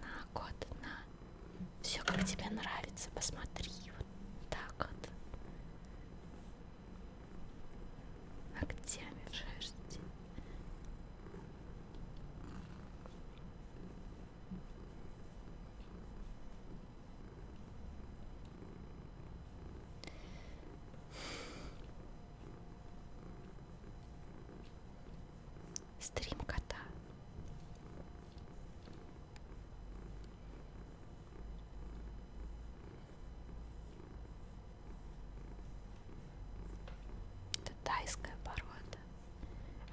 На год, на все как тебе нравится, посмотри вот так вот ногтями в шерсти. Стрим кота. Это тайская порода.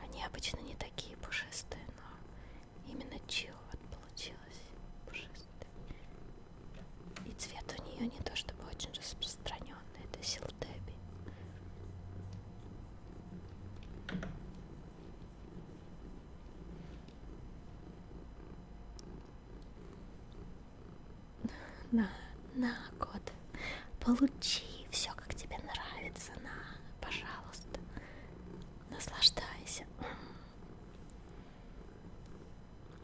Они обычно не такие пушистые, но именно чил вот получилась пушистая. И цвет у нее не то чтобы очень распространенный, это силтеби. На, на, кот. Получи все, как тебе нравится. На, пожалуйста. Наслаждайся.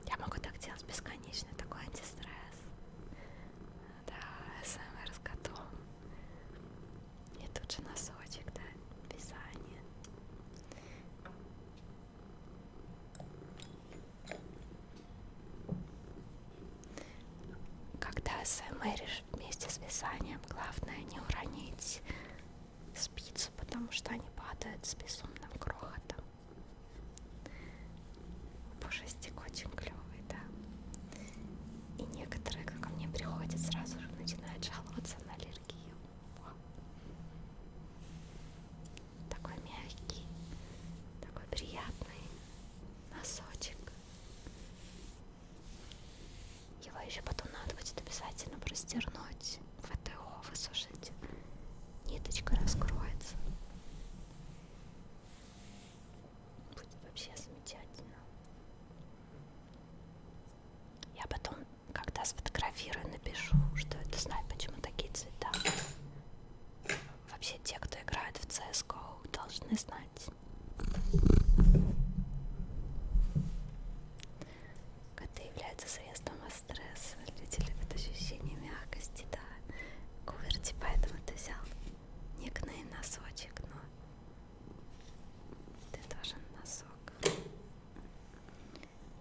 Я могу так делать бесконечно. Такой антистресс. Да, СМР с котом. И тут же носочек, да, вязание. Когда смеришь вместе с вязанием, главное не уронить спицу, потому что они падают с безумным крохотом. Пушистик очень клевый, да. И некоторые, как ко мне приходят, сразу же начинают жаловаться на аллергию такой мягкий, такой приятный носочек. Его еще потом надо будет обязательно простернуть, ВТО высушить. Ниточка раскроется. Будет вообще замечательно. Я потом когда сфотографирую, напишу, что это знает, почему такие цвета. Вообще те, кто играет в CSGO, должны знать. Коты являются средством от стресса. Люди любят ощущение мягкости, да. Куверти, поэтому ты взял никный носочек, но ты должен носок.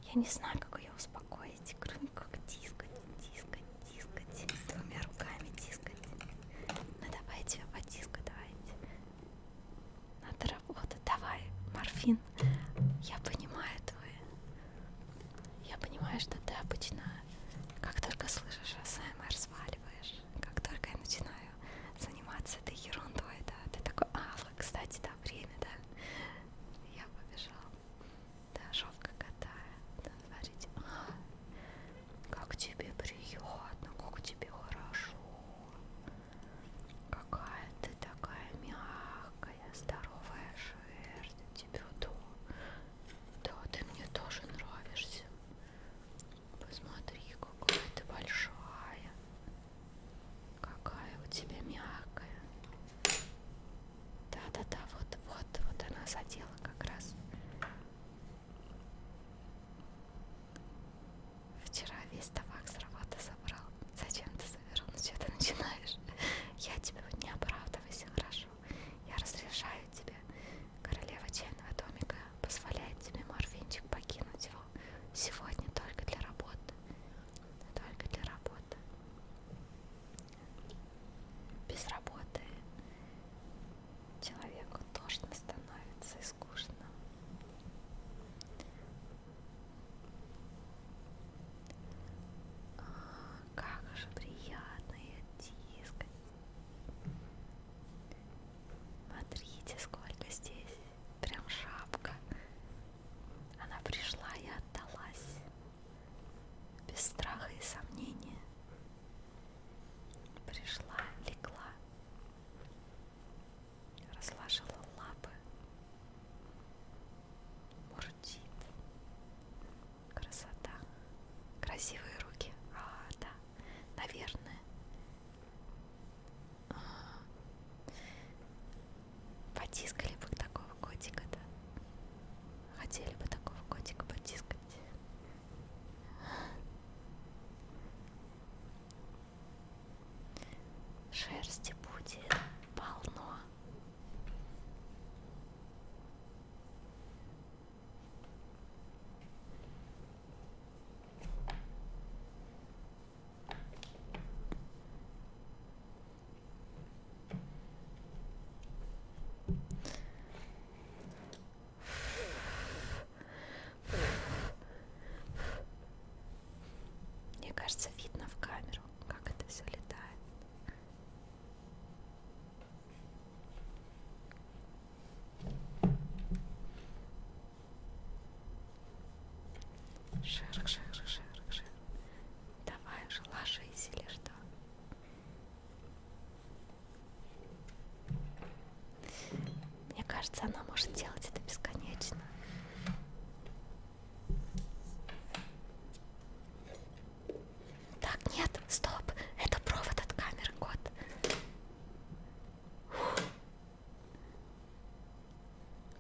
Я не знаю, как ее успокоить, кроме как тискать, тискать, тискать, двумя руками тискать. Ну давай тебя потискать, давайте. Надо работать, давай, морфин. Я понимаю твои. Я понимаю, что ты обычно, как только слышишь АСМР, сваливаешь. Как только я начинаю заниматься этой ерундой, да, ты такой, а, вот, кстати, да, время, да. Я побежал. Да, жопка катает. Смотрите. А, как тебе приятно, как тебе хорошо. Какая ты такая мягкая, здоровая шерсть. Тебе то. Да, ты мне тоже нравишься. Посмотри, какая ты большая. Какая у тебя мягкая. Да-да-да, вот, вот, вот она задела как раз. Вчера весь табак с работы собрал. Зачем ты собирал? Ну что ты начинаешь? Я тебя не оправдывайся, хорошо. Я разрешаю тебе. Королева чайного домика позволяет тебе морфинчик покинуть его. Сегодня только для работы только для работы. Без работы человеку тошно становится и скучно. А, как же приятно и оттискать. Смотрите, сколько здесь. Прям шапка она пришла и отдалась, без страха и сомнения. Пришла, легла, разложила лапы, мурчит. Красота. Красивые руки. А, да, наверное. Потискали бы такого котика, да? Хотели бы такого котика потискать. Шерсти будет полно. Мне кажется, видно в камеру, как это все летает. Шерх, шерх, шерх, шерх. Давай уже ложись или что? Мне кажется, она может делать это бесконечно. Так, нет, стоп, это провод от камеры, кот.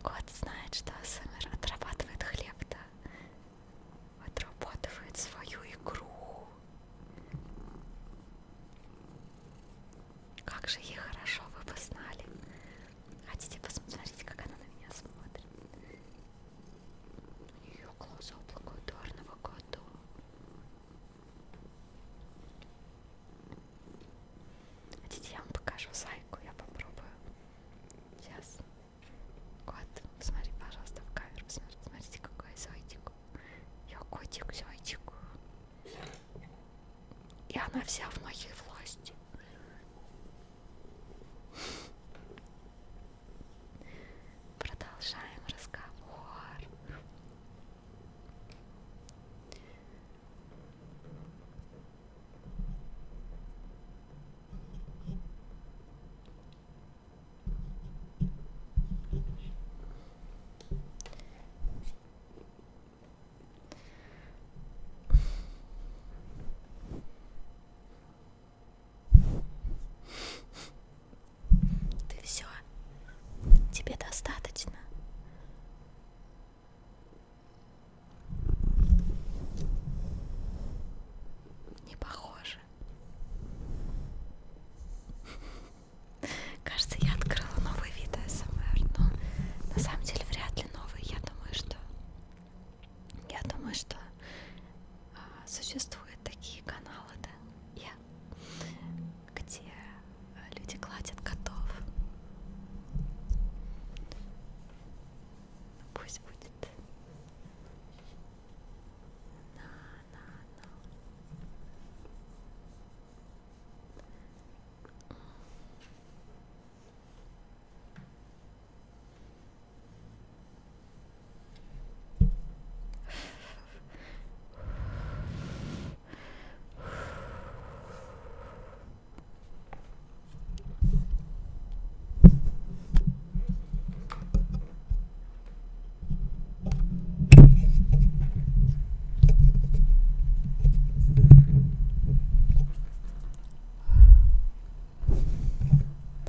Кот знает, что АСМР отрабатывает хлеб, да? Отрабатывает свою игру. Как же ей хорошо, вы бы знали. Хотите посмотреть, как она на меня смотрит? У нее глаза благодарного кота. Хотите, я вам покажу зайку, я попробую. Сейчас. Кот, смотри, пожалуйста, в камеру. Смотрите, смотрите какой зайчик. Я котик, зайчик. И она вся в моей власти. Продолжаем разговор. Ты все, тебе достаточно. Не похоже. Кажется, я открыла новый вид АСМР, но на самом деле вряд ли новый. Я думаю, что я думаю, что а, существуют такие каналы, да, я, где люди гладят котов. Пусть будет. На, на, на.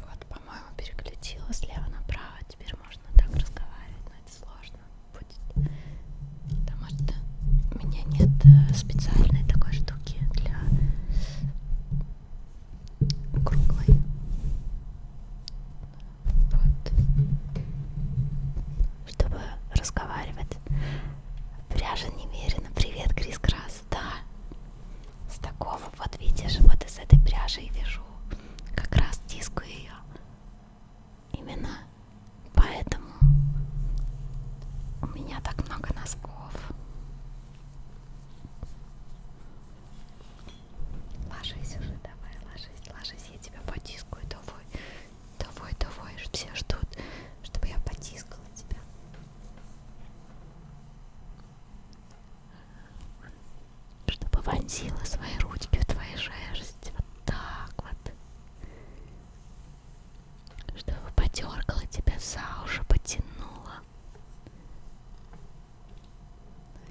Вот, по-моему, переключила слева направо. Теперь можно так разговаривать, но это сложно будет. Потому что у меня нет э, специальной такой штуки штуки для круглой. Вот. Чтобы разговаривать. Пряжа немерено. Привет, Крис Крас. Да. С такого, вот видишь, вот из этой пряжи и вяжу. Как раз тискую ее. Именно поэтому у меня так много носков. Ложись уже, давай, ложись, ложись, я тебя потискаю, давай, давай, давай, все ждут, чтобы я потискала тебя. Чтобы вонзила свои ручки в твои шерсть. Вот так вот чтобы подергала тебя за уши, потянула.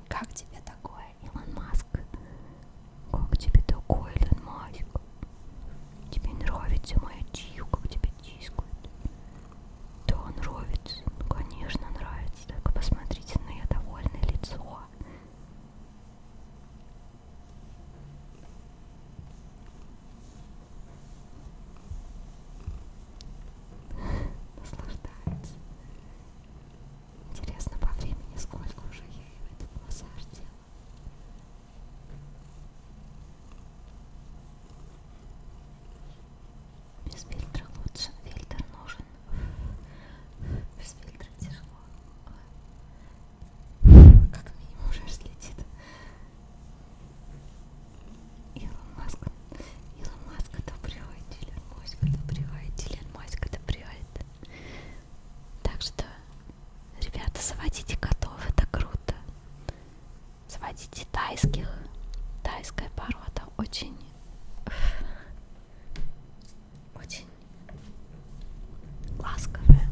Как тебе такое, Илон Маск? Как тебе такое, Илон Маск? Тебе нравится моя чью, как тебя тискают? Да, нравится. Ну, конечно, нравится. Только посмотрите на ее довольное лицо наслаждается. Интересно по времени, сколько уже я и в этот массаж делала. Без фильтра лучше, фильтр нужен. Без фильтра тяжело. Как минимум шерсть летит. Илон Маск. Илон Маск это приводит, Илон Маск это приводит, Илон Маск это приводит. Так что, ребята, заводите котов, это круто. Заводите тайских. Тайская порода очень... Очень ласковые.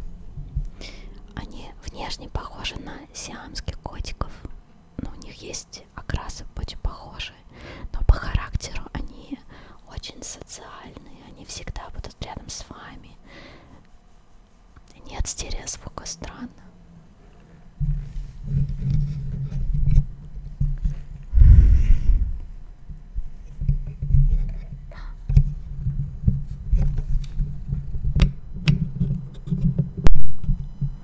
Они внешне похожи на сиамских котиков, но ну, у них есть окрасы очень похожие, но по характеру они очень социальные, они всегда будут рядом с вами. Нет стереозвука, странно. Да.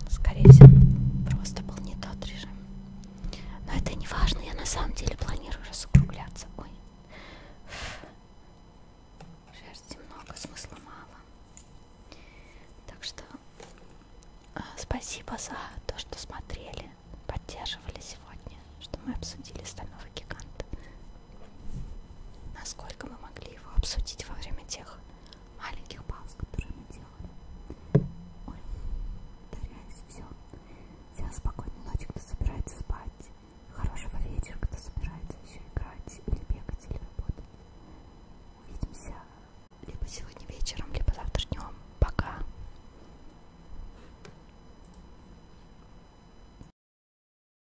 Скорее всего, просто был не тот режим. Но это не важно, я на самом деле планирую разукругляться. Ой. Шерсти много, смысла мало. Так что э, спасибо за то, что смотрели, поддерживали сегодня, что мы обсудили стального гиганта. Насколько мы могли его обсудить во время тех маленьких пауз, которые мы делали. Ой, повторяюсь, все. Всем спокойной ночи, кто собирается спать. Хорошего вечера, кто собирается еще играть или бегать, или работать. Увидимся либо сегодня вечером, либо завтра днем. Пока.